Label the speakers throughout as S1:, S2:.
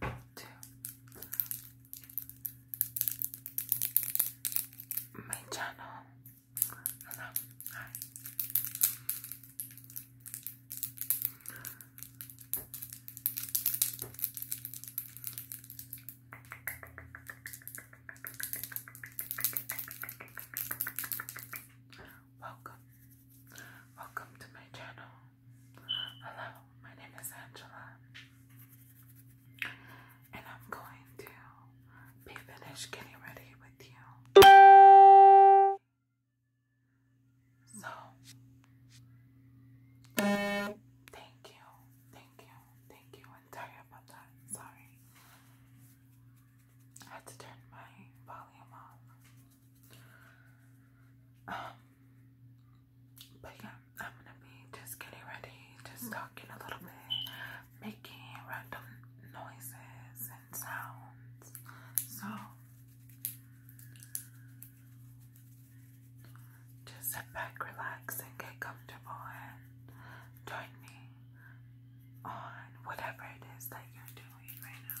S1: to my channel. Hello, Welcome, welcome to my channel. Hello, my name is Angela, and I'm going to be finished getting ready with you. So, thank you, thank you, thank you. I'm sorry about that. Sorry, I had to turn my volume off. Um, but yeah, I'm gonna be just getting ready, just talking a little bit, making random noises and sounds. So, just sit back, relax, and get comfortable, and join me on whatever it is that you're doing right now.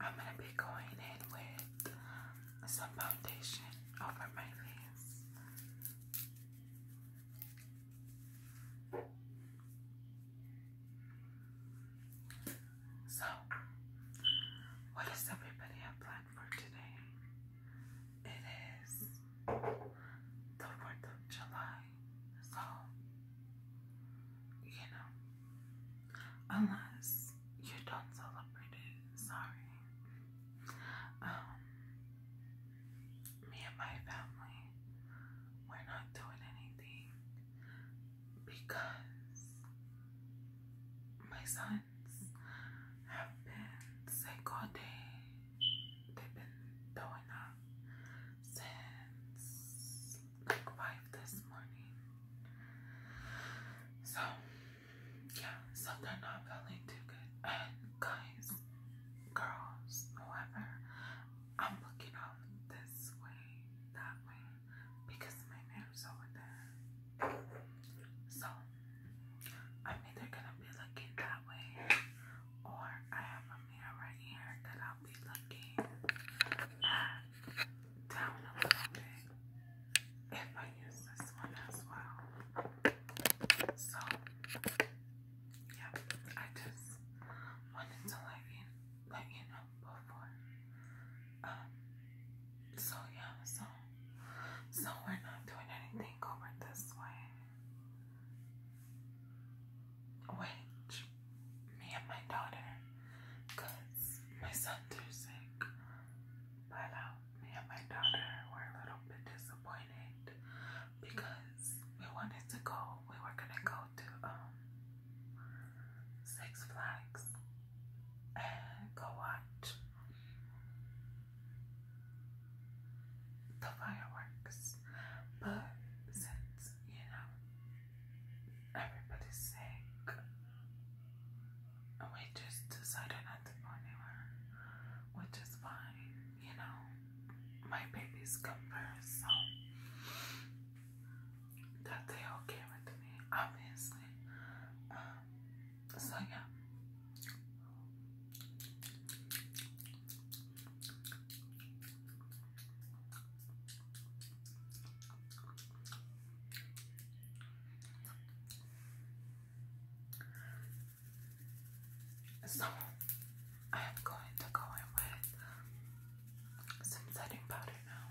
S1: I'm gonna be going in with um, some foundation over my face. So, what does everybody have planned for today? It is the 4th of July. So, you know, unless you don't celebrate it, sorry. Um, me and my family, we're not doing anything because my sons have been sick They've been throwing up since microwave this morning. So, yeah, so they're not feeling too good. And guys, girls, whoever, I'm looking out this way, that way, because my mirror's over there. So, I'm either gonna be looking that way, or I have a mirror right here that I I'll be looking down a little bit if I use this one as well. So, yeah, I just wanted to let you, let you know before. Um, so yeah, so, so we're not doing anything over this way which me and my daughter, because my son sick, but um, me and my daughter were a little bit disappointed because we wanted to go. We were gonna go to um, Six Flags and go watch the fireworks. But since, you know, everybody's sick, we just decided not to go anywhere, which is fine, you know. My babies come so that they okay with me, obviously. Um, so yeah, so I am going to go in with some setting powder now.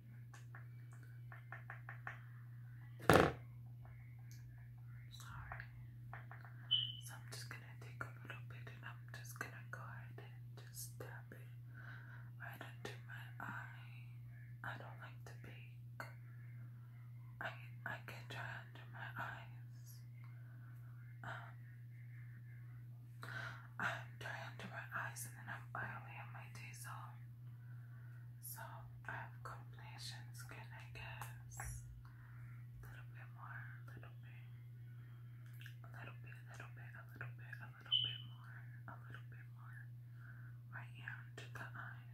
S1: Sorry. So I'm just gonna take a little bit and I'm just gonna go ahead and just dab it right into my eye. I don't like to be. I I can try under my eyes. Um, I'm dry under my eyes and then I'm oily on my diesel. So I have complexion skin, I guess. A little bit more, a little bit. A little bit, a little bit, a little bit, more, a little bit more. Right here the eye.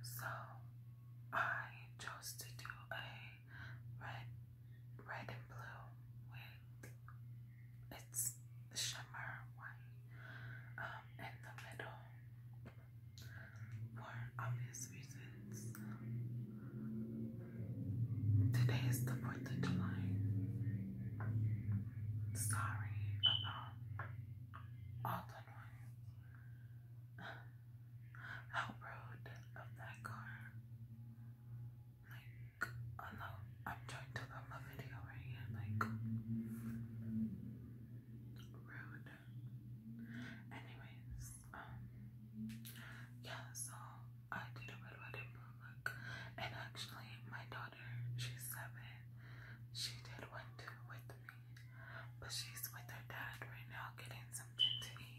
S1: So I chose to do a red, red and blue with its shimmer white um, in the middle for obvious reasons. Today is the 4th of Sorry about all the noise. How of that car. Like, I I'm trying to put my video right here, like, rude. Anyways, um, yeah, so I did a red wedding book, and actually, my daughter, she's seven, she did one too with me, but she's with her dad right now getting something to eat.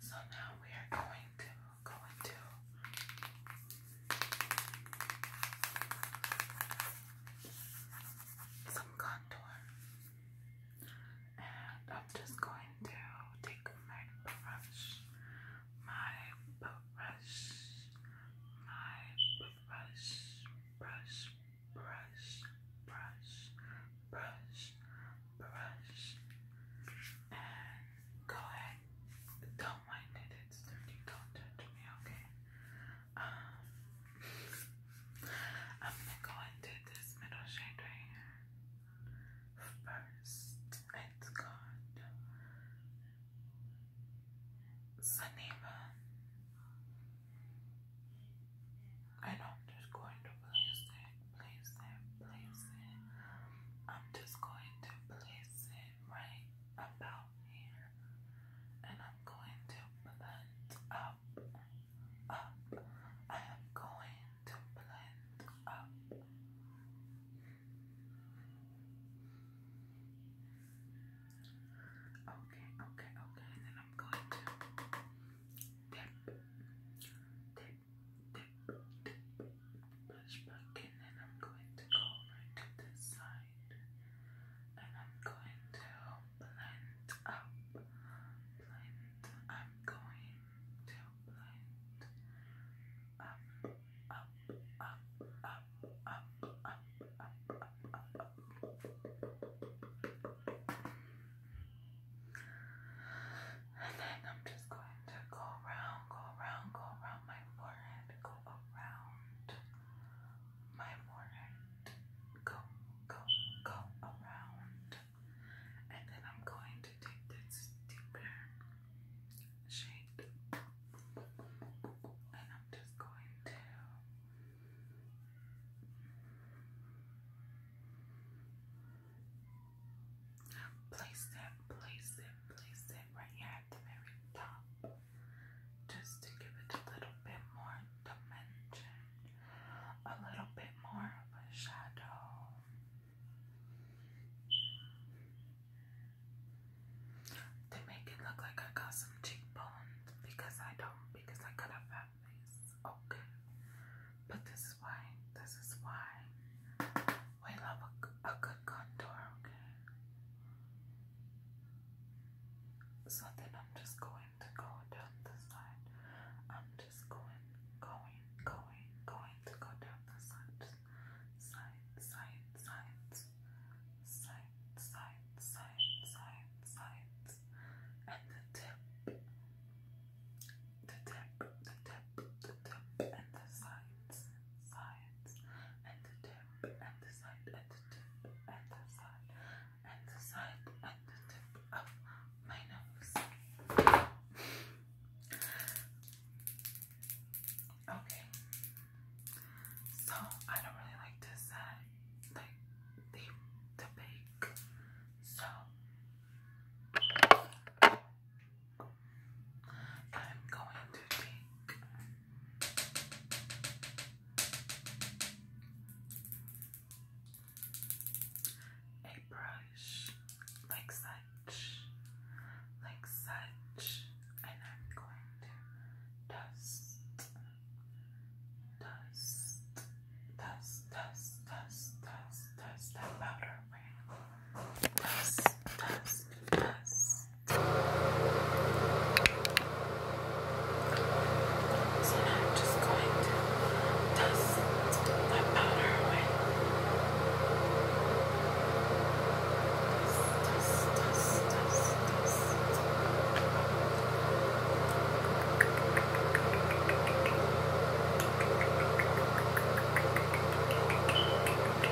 S1: So now we are going to going to some contour. And I'm just going to take my brush, my brush, my brush, brush, brush, brush, brush, brush, and go ahead. Don't mind it, it's dirty, don't touch me, okay? Um, I'm gonna go into this middle shade right here first. It's called Saniva. And I'm just going to place it, place it, place it. I'm just going to place it right about here. And am going to blend up, up. I am going to blend up. Okay, okay, okay. And then I'm going to dip, dip, dip, dip, brush back in, and I'm going to go over to this side, and I'm going to blend up, blend. I'm going to blend up, up, up, up, up, up, up, up, up, up. And then I'm just going to go around, go around, go around my forehead, go around, my warrant go, go, go around. And then I'm going to take this deeper shade. And I'm just going to place it, place it, place it right at the very top just to give it a little bit more dimension, a little bit more of a shadow. To make it look like I got some cheekbones because I don't, because I got a fat face. Okay. But this is why, this is why we love a, good contour, okay? So then I'm just going to go down the side. I'm just going, going, going, going to go down the side. Side, side, side. Side, side, side, side, side. And the tip. The tip, the tip, the tip, and the sides, sides, and the tip tip and the side and the tip and the side and the tip of my nose. Okay. So I don't really like to uh, set uh, like the the So I'm going to take a brush like such, like such, and I'm going to dust, dust, dust, dust, dust, dust, dust that powder away. Dust, dust, dust. So now I'm just going to dust that powder away. Dust, dust, dust, dust, dust. Okay. I'm going to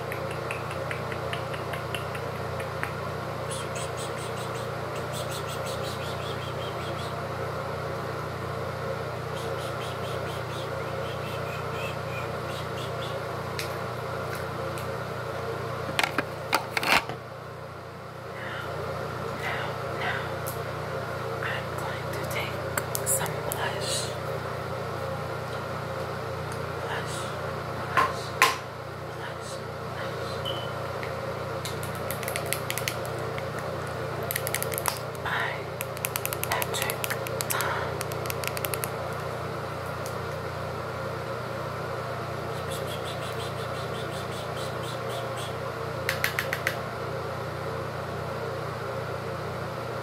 S1: take some blush Relax. Relax. Relax. Relax. I, Patrick, time. Relax.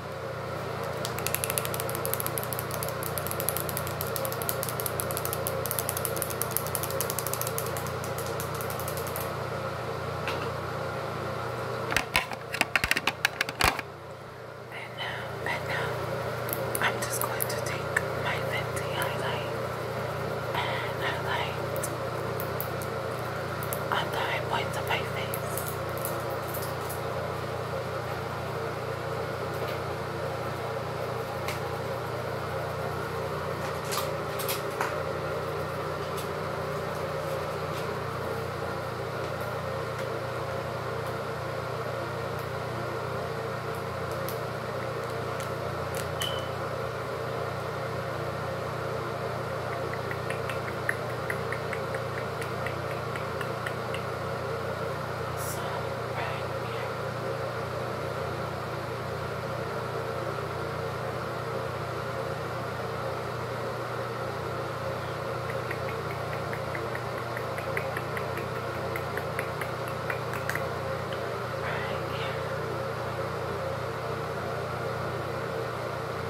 S1: And now, and now, I'm just going to take my Fenty highlight and highlight on the high points of my face. So, right here. Right here.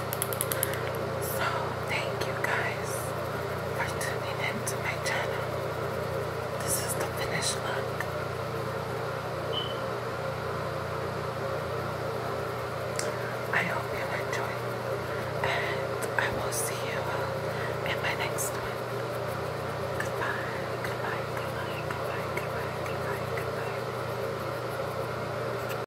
S1: So, thank you guys for tuning in to my channel. This is the finish line. I hope you enjoy, I will see you in my next one. Goodbye, goodbye, goodbye, goodbye, goodbye, goodbye, goodbye.